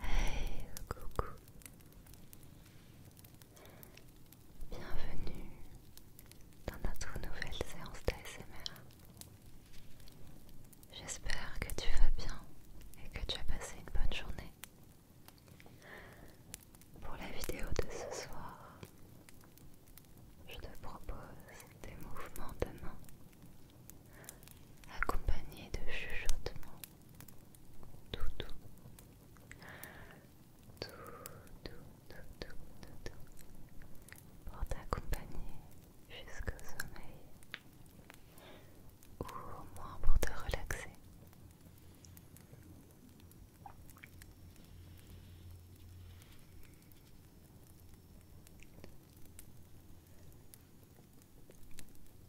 Hey, coucou. Bienvenue dans notre nouvelle séance d'ASMR. J'espère que tu vas bien et que tu as passé une bonne journée. Pour la vidéo de ce soir, je te propose des mouvements de main accompagnés de chuchotements tout tout, tout, tout, tout, tout pour t'accompagner jusqu'au sommeil ou au moins pour te relaxer.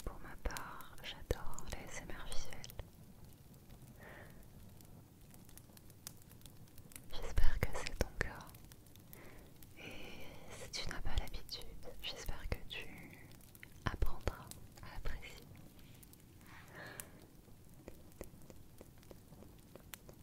Pour ma part, j'adore les SMR visuels. J'espère que c'est ton cas. Et si tu n'as pas l'habitude, j'espère que tu apprendras à apprécier.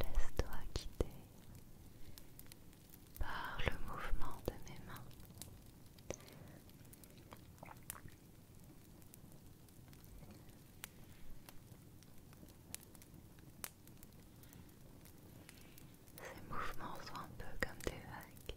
Laisse-toi quitter par le mouvement de mes mains. Ces mouvements sont un peu comme des vagues.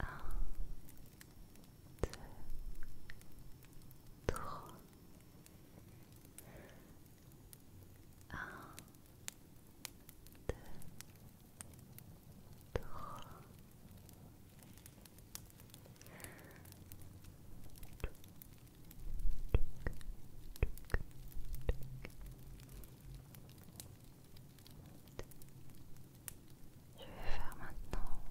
Un, deux, trois. Un, deux, trois. Tic, tic, tic, tic. Je vais faire maintenant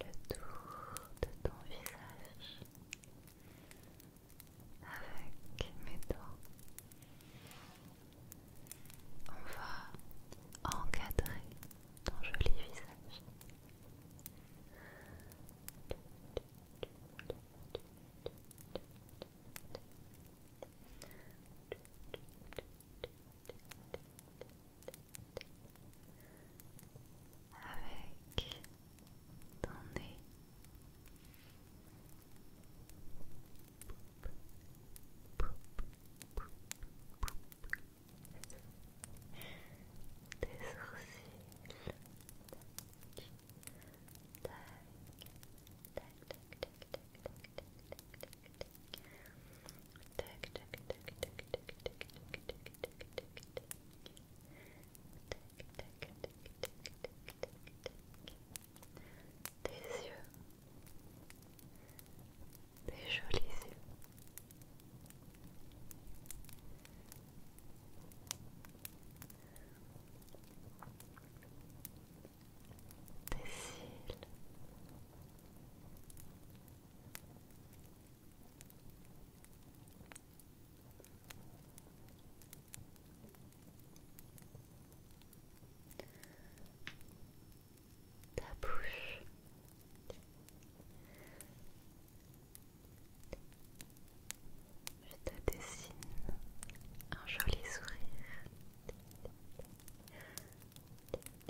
le tour de ton visage avec mes doigts. On va encadrer ton joli visage. avec ton nez. Tes sourcils. Tes yeux, tes jolis yeux tes cils. Ta bouche, je te dessine un joli sourire.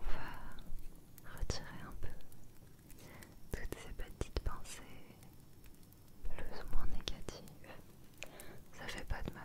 on va retirer un peu toutes ces petites pensées plus ou moins négatives. Ça fait pas de mal.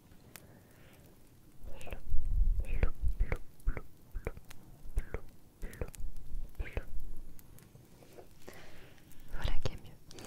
Voilà qui est mieux.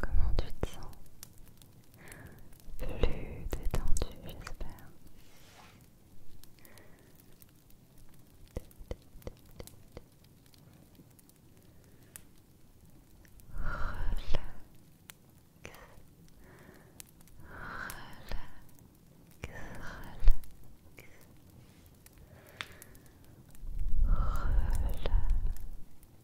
Comment tu te sens Plus détendu, j'espère. Relax. Relax. Relax. Relax.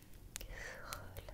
Détente, détente,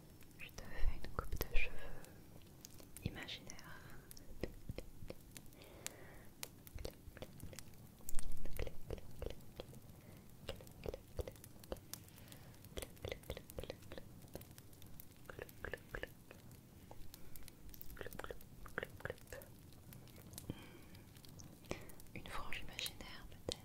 Je te fais une coupe de cheveux imaginaire. Une frange imaginaire peut-être.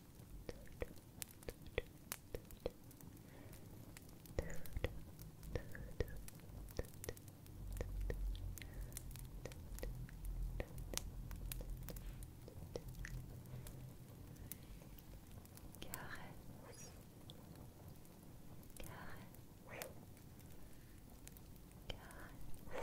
Caresse, caresse, caresse, caresse.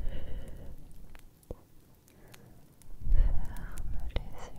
Allez, ferme les yeux. Ferme les yeux.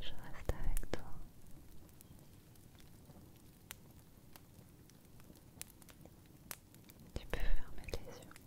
Je reste avec toi. Tu peux fermer les yeux.